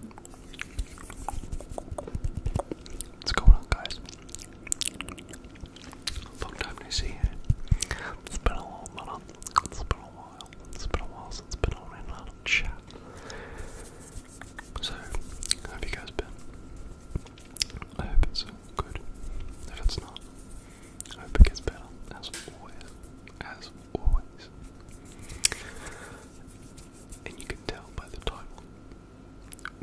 What's going on, guys? Long time no see It's been a long while. It's been a while. It's been a while since been on and on chat. So, how have you guys been? I hope it's good. If it's not, I hope it gets better. As always. As always and you can tell by the title.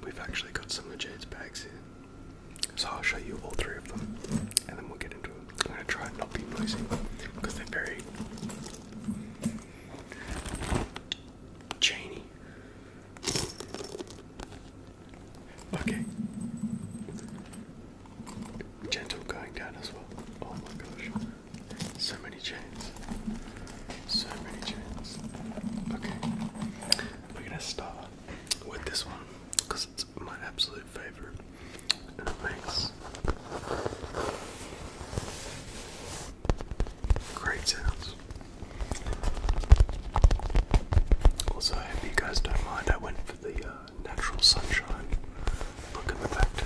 We've actually got some of Jade's bags here, so I'll show you all three of them, and then we'll get into it. I'm gonna try and not be noisy because they're very chainy. Okay. Gentle going down as well. Oh my gosh. So many chains. So many chains. Okay. We're gonna start with this one because it's my absolute favorite. And it makes great sounds. Also, I hope you guys don't mind, I went for the uh, natural sunshine. Look in the back to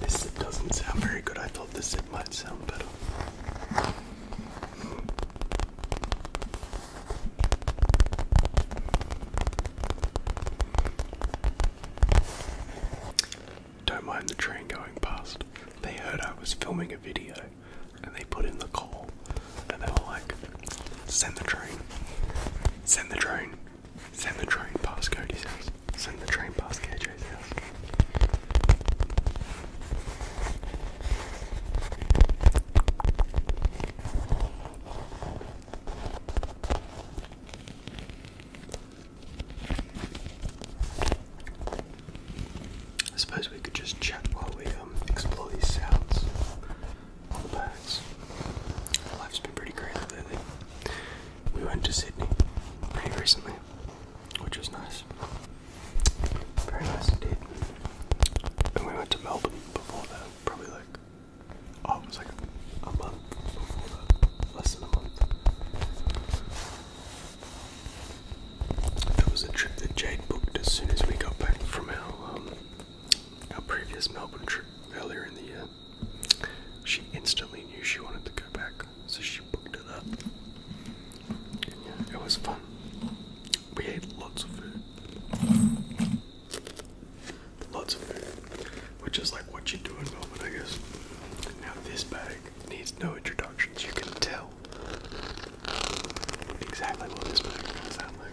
This doesn't sound very good. I thought this zip might sound better. Don't mind the train going past. They heard I was filming a video and they put in the call and they were like, send the train, send the train, send the train past Cody's house, send the train past KJ's house. I suppose we could just chat while we um, explore these sounds on the birds. Life's been pretty crazy lately. We went to Sydney pretty recently, which was nice. Very nice indeed. And we went to Melbourne before that, probably like, oh, was like a month before that, less than a month. That was a trip that Jade booked as soon as we got back from our um, our previous Melbourne trip earlier in the year. She instantly knew she wanted to go back, so she booked it up. It was fun. We ate lots of food. Lots of food. Which is like what you do in Melbourne, I guess. Now this bag needs no introductions. You can tell exactly what this bag is sound like.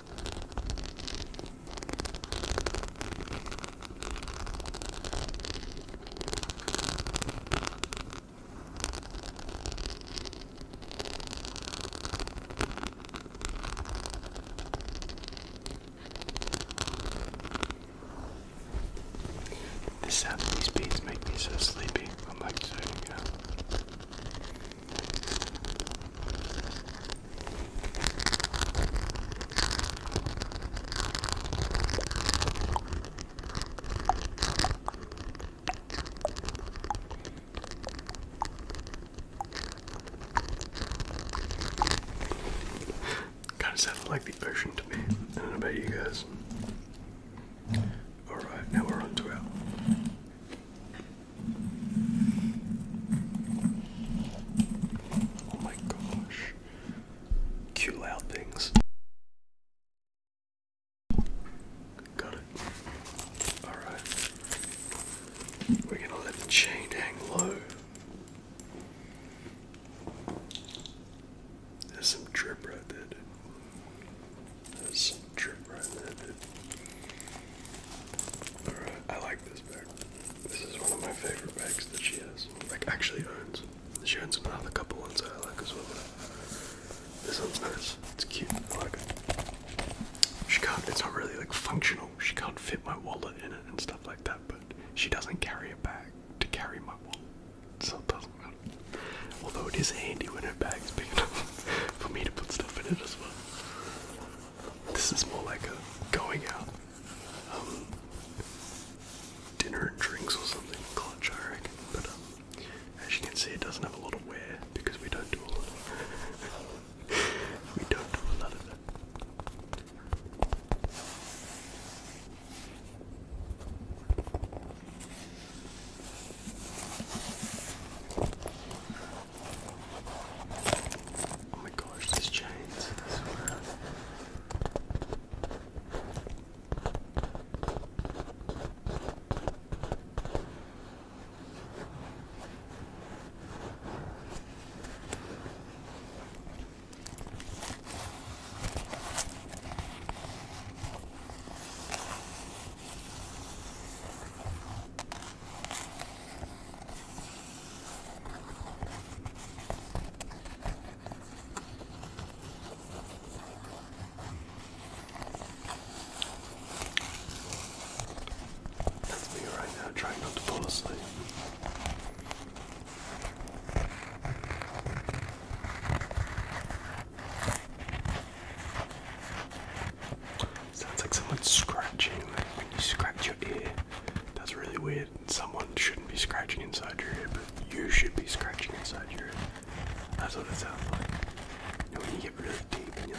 The sound of these beats make me so sleepy. I'm like, so you know. Kind of sounded like the ocean to me. I don't know about you guys. Alright, now we're on to Oh my gosh. Cute loud things. Got it. Alright. We're gonna let the chain hang low. There's some drip right there, that's trip right there, dude. Alright, I like this bag. This is one of my favorite bags that she has. Like, actually owns. She owns another couple ones that I like as well. This one's nice. It's cute. I like it. She can't, it's not really like functional. She can't fit my wallet in it and stuff like that, but she doesn't carry a bag to carry my wallet. So it doesn't matter. Although it is handy when her bag's big enough for me to put stuff in it as well. This is more like a going out, um, dinner and drinks or something clutch, I reckon. But um, as you can see, it doesn't have a lot of wear because we don't do a lot of we don't do a lot of that. Oh my gosh, these chains, I swear. That's me right now, trying not to fall asleep. Sounds like someone scratching. Like when you scratch your ear, that's really weird. Someone shouldn't be scratching inside your ear, but you should be scratching inside your ear. That's what it sounds like. You know, when you get really deep and you're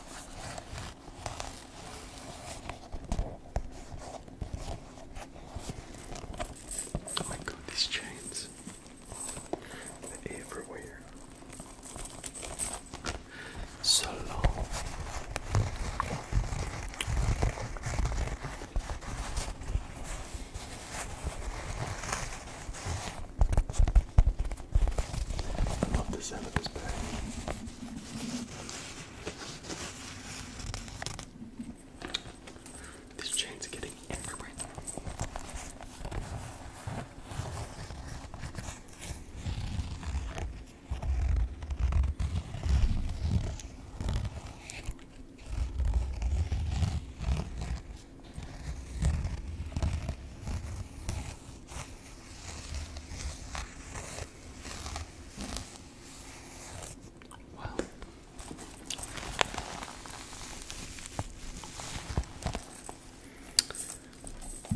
Oh my god, these chains. They're everywhere. So long. I love the sound of this bag. These chains are getting everywhere. Well,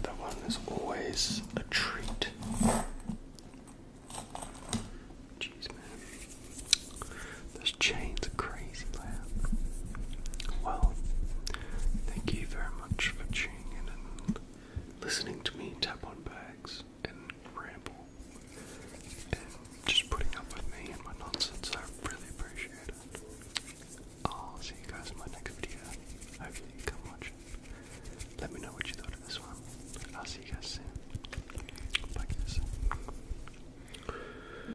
that one is always a treat. Jeez, man. This chains a crazy, plan. Well, thank you very much for tuning in and listening to me tap on bags and ramble and just putting up with me and my nonsense. I really appreciate it. I'll see you guys in my next video. Hopefully, you come watch it. Let me know what you thought of this one. I'll see you guys soon. Bye, guys.